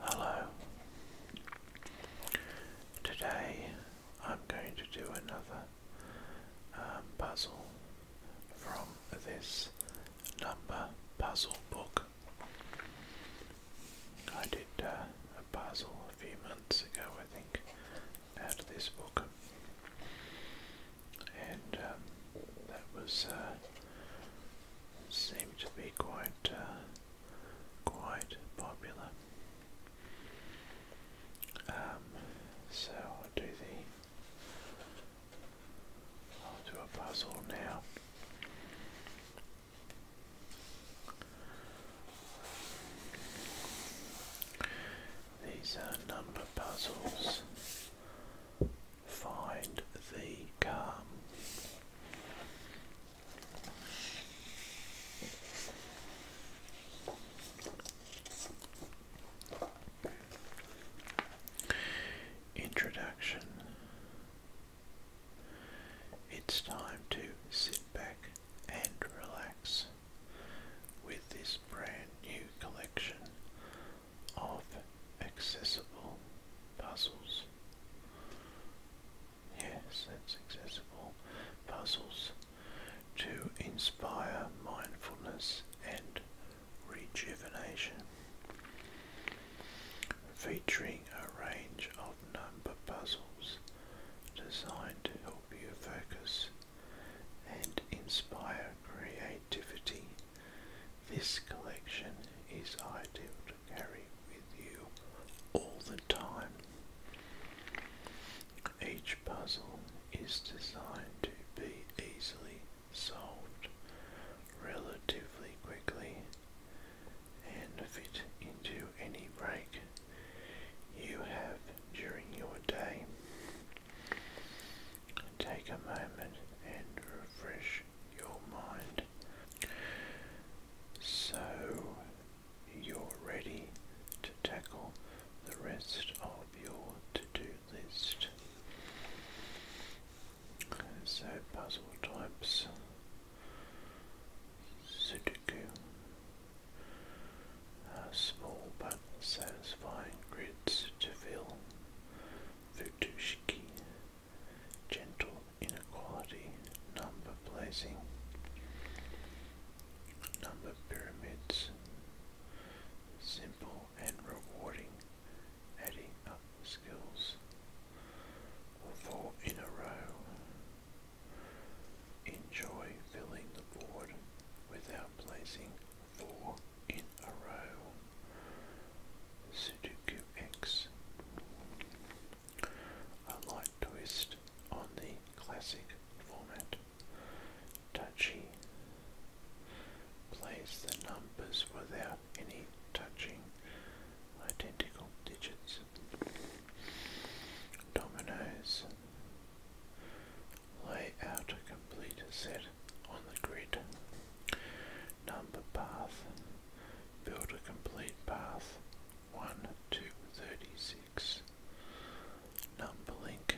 Hello. Today I'm going to do another um, puzzle from this number puzzle book. I did uh, a puzzle a few months ago, I think, out of this book, and um, that was uh, seemed to be quite. Uh, quite popular. Um, so I'll do the I'll do a puzzle now. These are number puzzles. Find the car. Introduction. It's time to sit back and relax with this brand new collection of accessible puzzles. Yes, that's accessible. Puzzles to inspire mindfulness and rejuvenation. Featuring a range of number puzzles designed to help you focus and inspire creativity. This collection is ideal carry with you all the time. Each puzzle is designed to be easily solved relatively quickly and fit into any break you have during your day. Take a moment and refresh your mind so you're ready to tackle the rest of your to-do list. So puzzle types, Sudoku, uh, small but satisfying grids to fill, Futushiki, gentle inequality, number placing, number pyramids, simple and rewarding, adding up skills, four in a row, enjoy filling the board without placing four in a row. Sudoku X a light twist on the classic format. Touchy Place the numbers without any touching identical digits. Dominoes lay out a complete set on the grid number path, build a complete path 1 to 36, number link,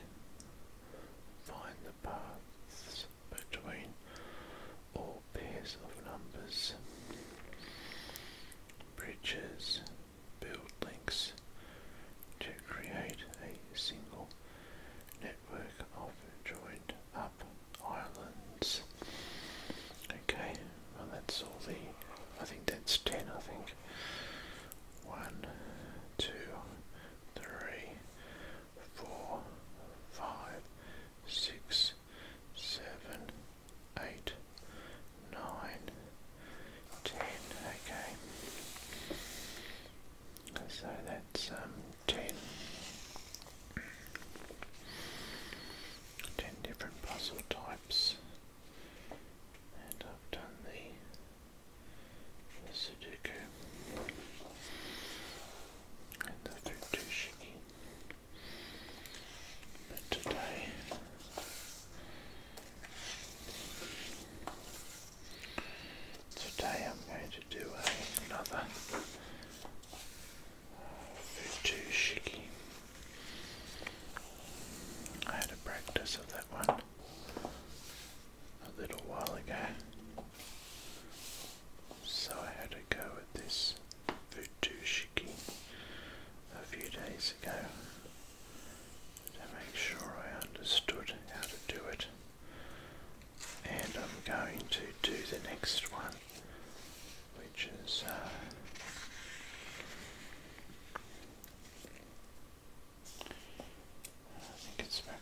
find the paths between all pairs of numbers, bridges, build links to create a single network of joined up islands. Okay, well that's all the, I think that's 10 I think. One, two, three, four, five, six, seven, eight, nine, ten. Okay, so that's um, ten ten different puzzle types, and I've done the, Sudoku and the Futushiki. But today, today I'm going to do another Futu Shiki. I had a practice of that one a little while ago, so I had to go with this Futu Shiki a few days ago to make sure I understood how to do it. And I'm going to do the next one which is uh, I think it's back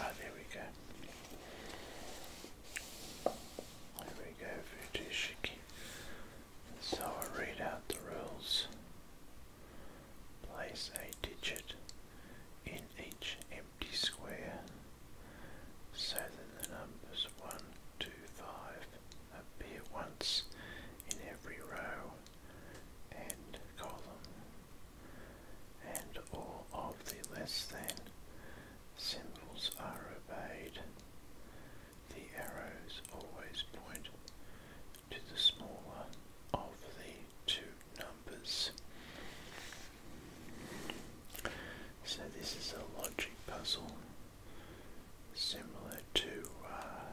Ah, there we go. There we go, Futishiki. So I'll read out the rules. Place a digit in each empty square so that the numbers 1, 2, 5 appear once in every row and column, and all of the less than symbols are obeyed. The arrows always point to the smaller of the two numbers. So this is a logic puzzle similar to uh,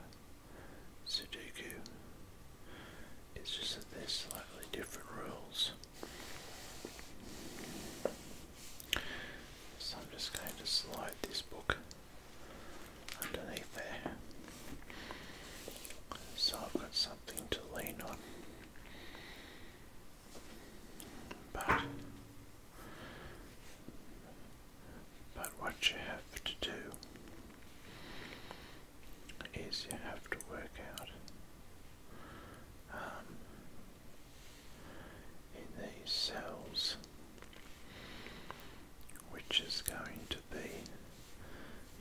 Sudoku. It's just that there's slightly different rules. So I'm just going to slide this book underneath there. So I've got something to lean on. But, but what you have to do is you have to work out um, in these cells which is going to be,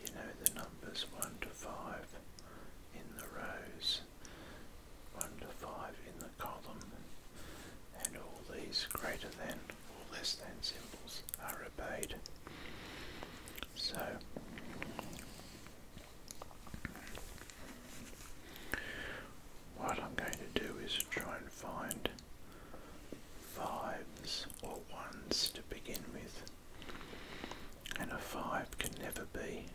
you know, the numbers 1 to 5 in the rows 1 to 5 in the column, and all these greater than or less than symbols are obeyed. So, what I'm going to do is try and find fives or ones to begin with, and a five can never be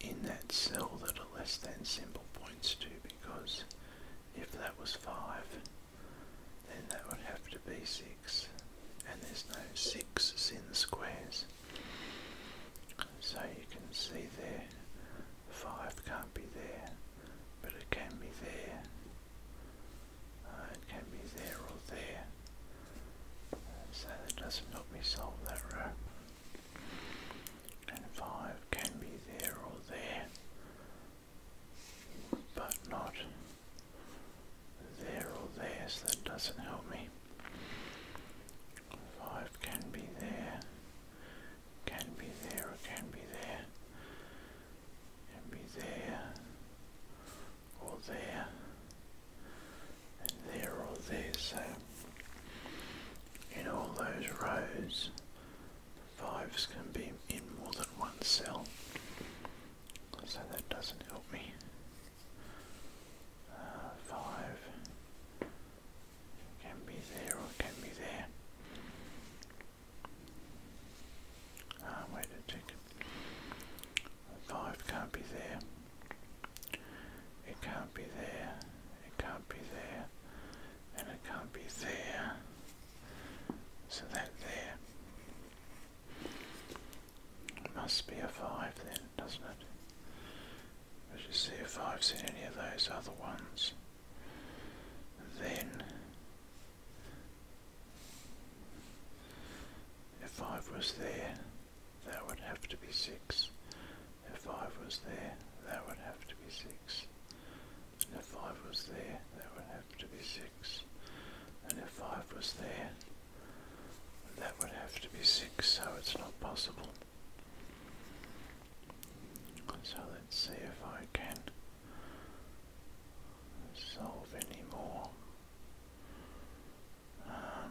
in that cell that a less than simple points to because if that was 5 then that would have to be 6 and there's no 6's in the squares so you can see there 5 can't be there but it can be there uh, it can be there or there so that doesn't help me solve that row and 5 can be there or there, but not there or there, so that doesn't help me. 5 can be there, can be there, can be there, can be there, or there, there or there, so in all those rows, fives can be in more than one cell, so that doesn't help me. Uh, five can be there or can be there. Uh, wait a second. Five can't be there. It can't be there. It can't be there. And it can't be there. So that there must be a 5 then, doesn't it? Let's just see if I've seen any of those other ones. Then, if 5 was there, that would have to be 6. If 5 was there, that would have to be 6. if 5 was there, that would have to be 6. And if 5 was there, that would have to be 6, so it's not possible. So let's see if I can solve any more. Um,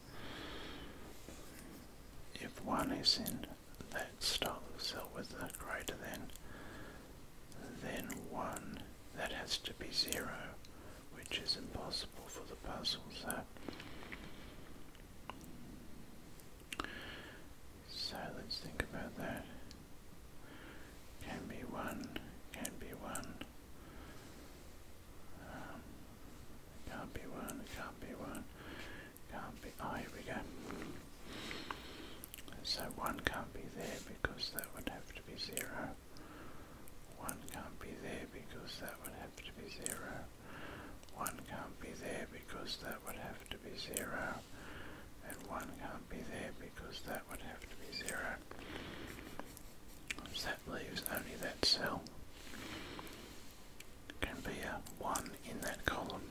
if one is in that stock, so with a greater than, then one, that has to be zero, which is impossible for the puzzle. So, so let's think about that. Can be one, can be one. Um, can't be one, can't be one, can't be. Oh, here we go. So one can't be there because that would have to be zero. One can't be there because that would have to be zero. One can't be there because that would have to be zero. And one can't be there because that would have to be zero. So that leaves only that cell can be a 1 in that column.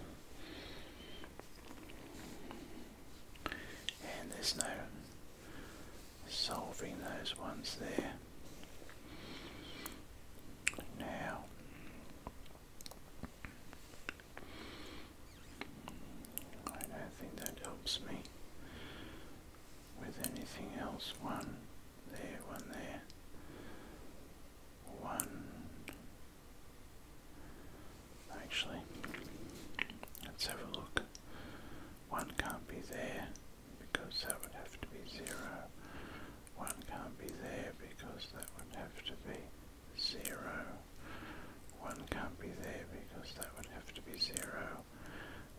And there's no solving those ones there. Now, I don't think that helps me with anything else. One, there, one there, one. Actually, let's have a look. One can't be there because that would have to be zero. One can't be there because that would have to be zero. can't be there because that would have to be zero.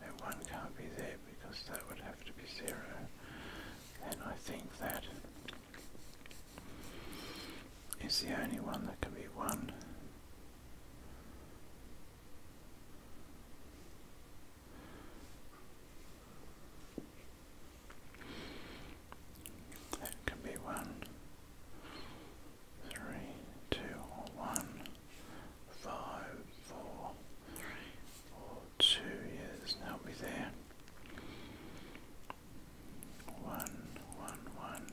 And one can't be there because that would have to be zero and I think that is the only one that can be won. That can be one, three, two, two, years there's no be there. One, one, one.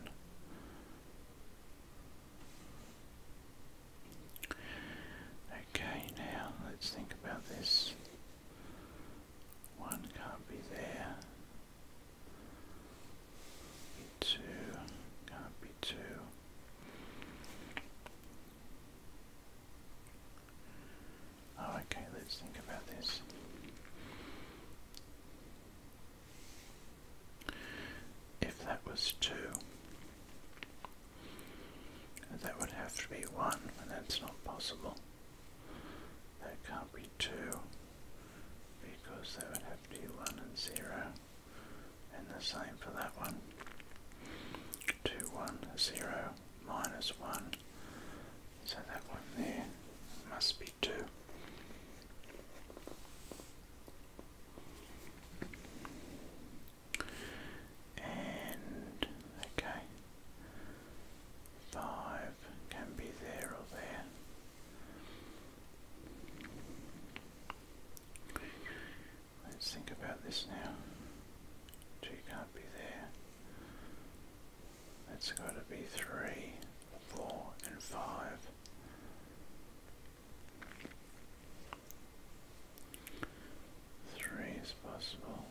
Okay, now let's think about this. One can't be there. Two can't be two. Oh, okay, let's think about this. If that was 2, that would have to be 1, and that's not possible. That can't be 2, because that would have to be 1 and 0, and the same for that one. 2, minus 1. So that one there must be 2. And, okay, 5 can be there or there. Let's think about this now. Two can't be there. it has got to be three, four, and five. Three is possible.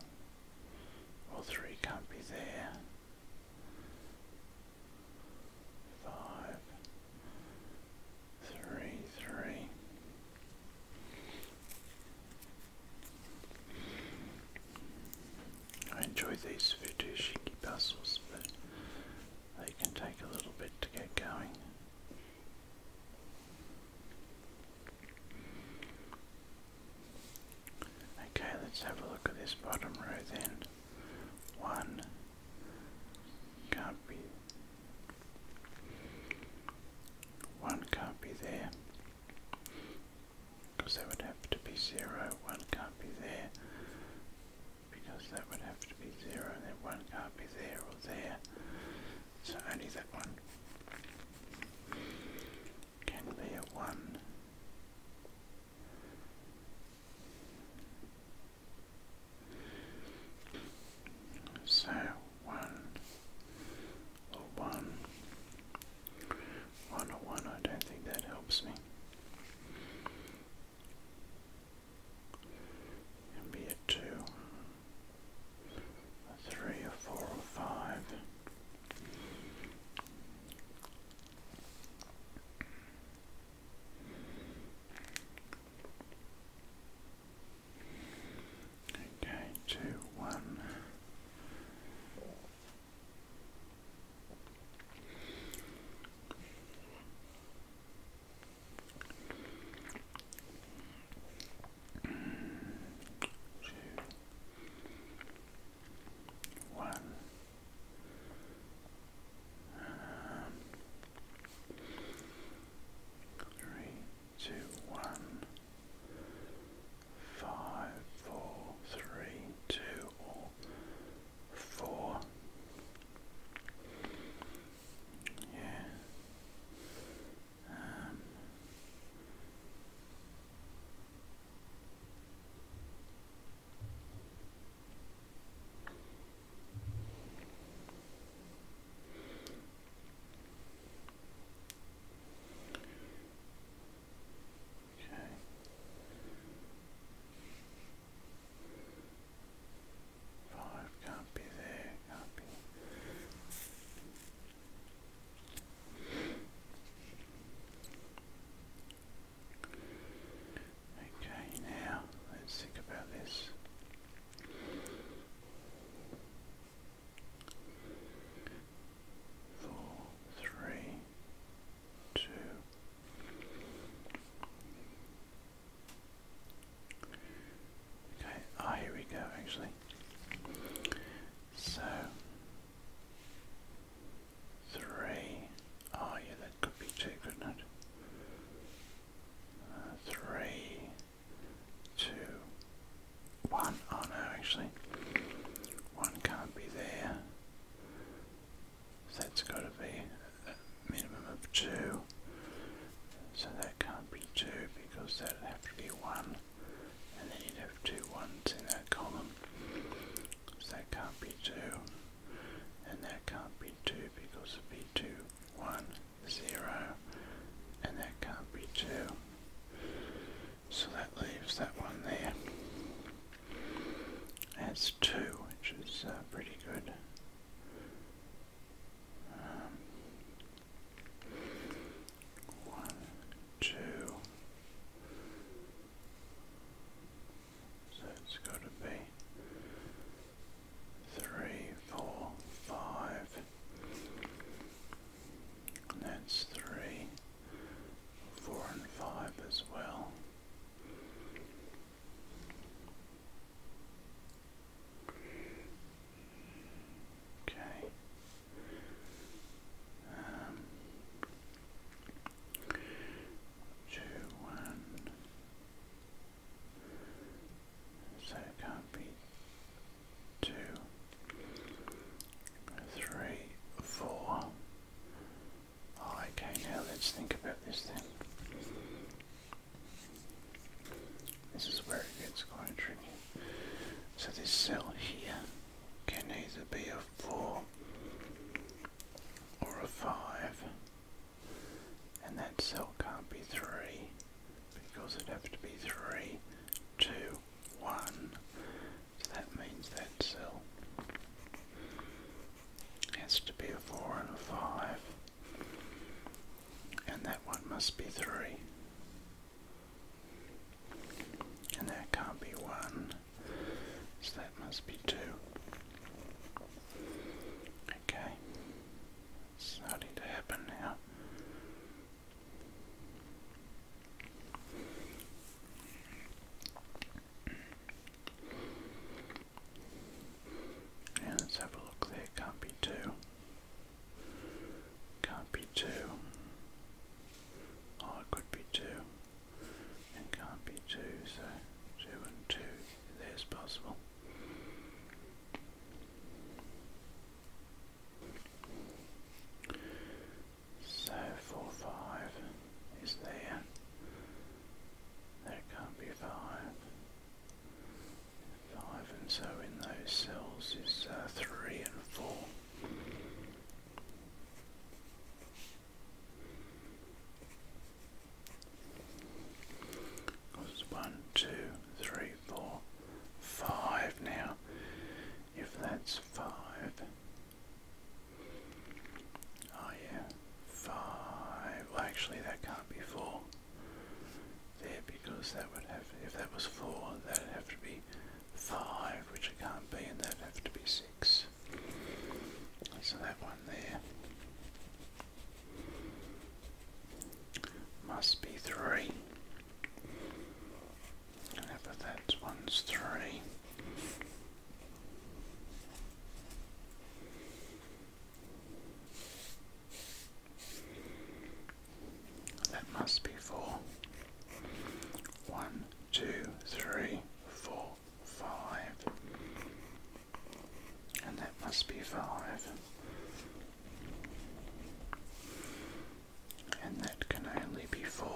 Well, three can't be there. Five. Three, three. I enjoy these Futu Shiki puzzles, but they can take a little bit to get going. Okay, let's have a look at this bottom row then. One can't be one can't be there. Because that would have to be 0, 1 can't be there. Because that would have to be 0, That then 1 can't be there or there. So only that one can be a 1. So Oh oh one. I don't think that helps me. be a two, three, a four, or five. Okay, two, one. Two, one. Um, three, two, one five, four, three, two, or four. Yeah. Um. Okay. Five can't be there, can't be. Okay, now let's think about this four, three, two. Okay, ah, here we go actually. So, three. Ah, yeah, that could be two, couldn't uh, three, two, one. Oh no, actually, one can't be there. So that's got to be minimum of two. So that can't be two because that'd have to be one, and then you'd have two ones in that column. So that can't be two, and that can't be two because it'd be two, one, zero, and that can't be two. So that leaves that one there. That's two, which is uh, pretty good. Um, one, two. So it's got to be three, four, five, that's three, four, and five as well. Okay. Um, two, one. So it can't be two, three, four. Oh, okay, now let's think about this then. This is where it gets quite tricky. So this cell here can either be a four or a five. And that cell can't be three because it'd have to be three, two, 1. So that means that cell has to be a 4 and a 5. And that one must be 3. And that can't be 1. So that must be 2. Okay. starting to happen now. Yeah, let's have a look there. Can't be two. Can't be two. Oh, it could be two. And can't be two, so two and two, there's possible. So 4, 5 is there. There can't be 5. 5 and so in those cells is uh, 3 and 4. It's one, two, three, four, five now if that's 5. yeah, 5. Well, actually that can't be 4 there because that would have, if that was 4, that would have to be 5, which it can't be, and that would have to be 6. So that one there must be 3. Whatever that one's three. That must be four. One, two, three, four, five. And that must be five and that can only be 4.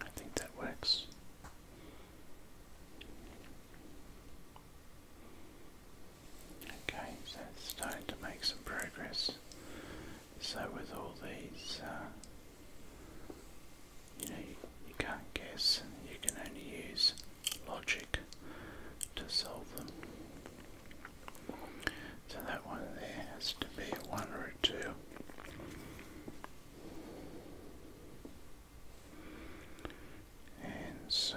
I think that works. Okay, so it's starting to make some progress. So with all these, uh, you know, you can't guess, you can only use logic to solve them. So that one there has to be a one or a two. And so,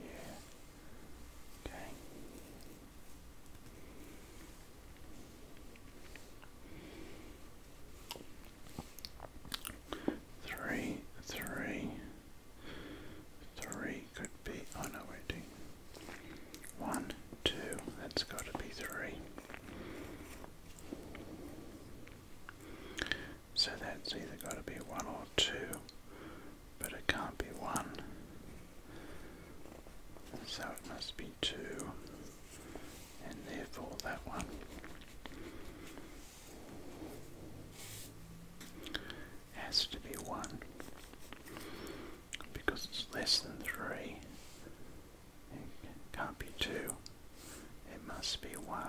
yeah, okay. Three, three, three, could be. Oh no, we one, two. That's got to be three. So that's either got to be one or two, but it can't be one. So it must be two, and therefore that one. Has to be one because it's less than 3. It can't be 2. It must be 1.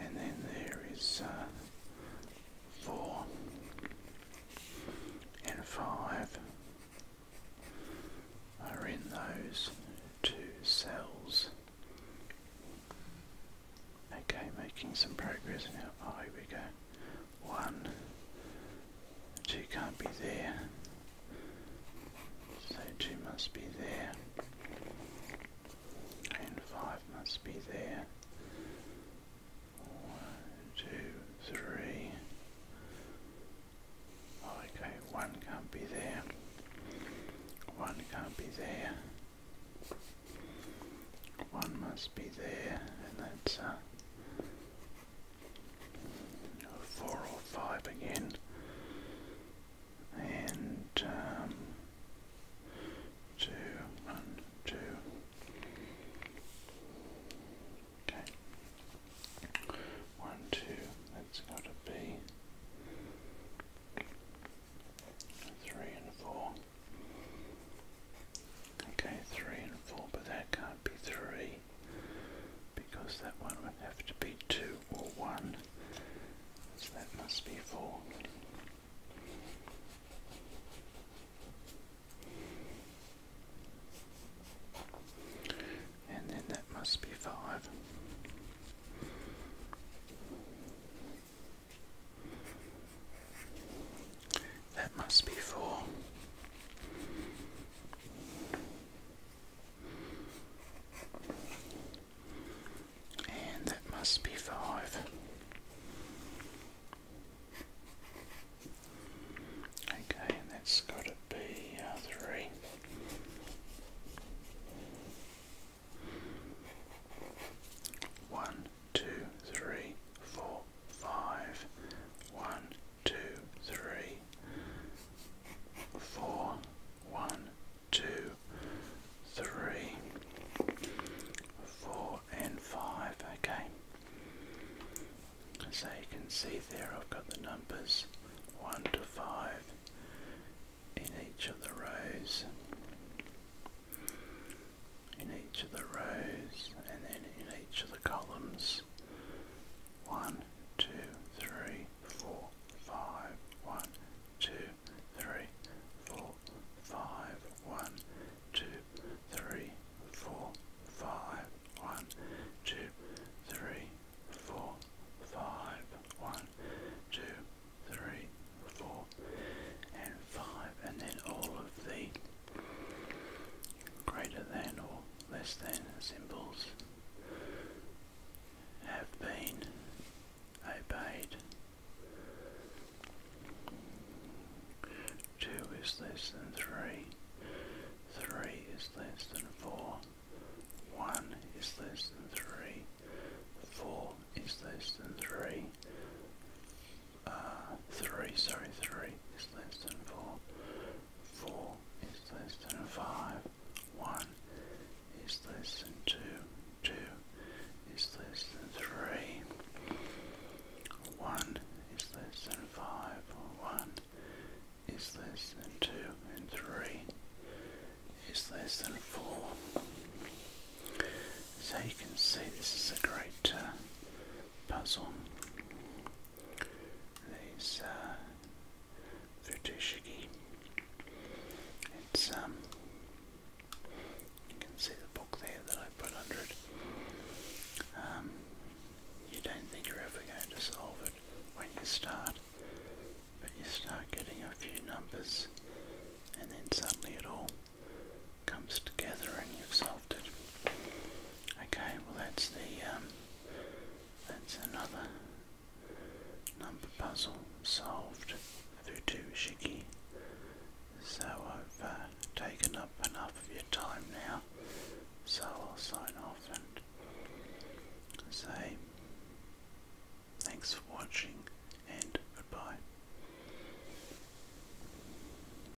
And then there is uh, 4 and 5 are in those two cells. Okay, making some progress now. Oh, here we go one, two can't be there, so two must be there, and five must be there. One, two, three. Oh, okay, one can't be there. One can't be there. One must be there, and that's uh, four or five again, and um, two, one, two. Okay, one, two. That's got to be three and four. Okay, three and four, but that can't be three because that one would have to be two or one. So that must be four. And then that must be five. That must be four. And that must be five. Okay, and that's got to be uh, three. One, two, three, four, five, one, two, three, four, one, two, three, four, and five. Okay. So you can see there I've got the numbers 1 to 5 in each of the rows in each of the rows and then in each of the columns. One, two, three, four, five. One, two, three, four, five. One, two, three, four, five. One, two, three, four, five. One, two, three, four, and five. And then all of the greater than or less than symbols have been obeyed. Two is less than three. Three is less than four. One is less than three. Four is less than three. 3, sorry, 3 is less than 4, 4 is less than 5, 1 is less than 2, 2 is less than 3, 1 is less than 5, 1 is less than 2, and 3 is less than 4. So you can see this is a great uh, puzzle. These uh, It's um, you can see the book there that I put under it. Um, you don't think you're ever going to solve it when you start, but you start getting a few numbers, and then suddenly it all comes together and you've solved it. Okay, well that's the um, that's another number puzzle solved. Futushiki. So I've uh, taken up enough of your time now, so I'll sign off and say thanks for watching and goodbye.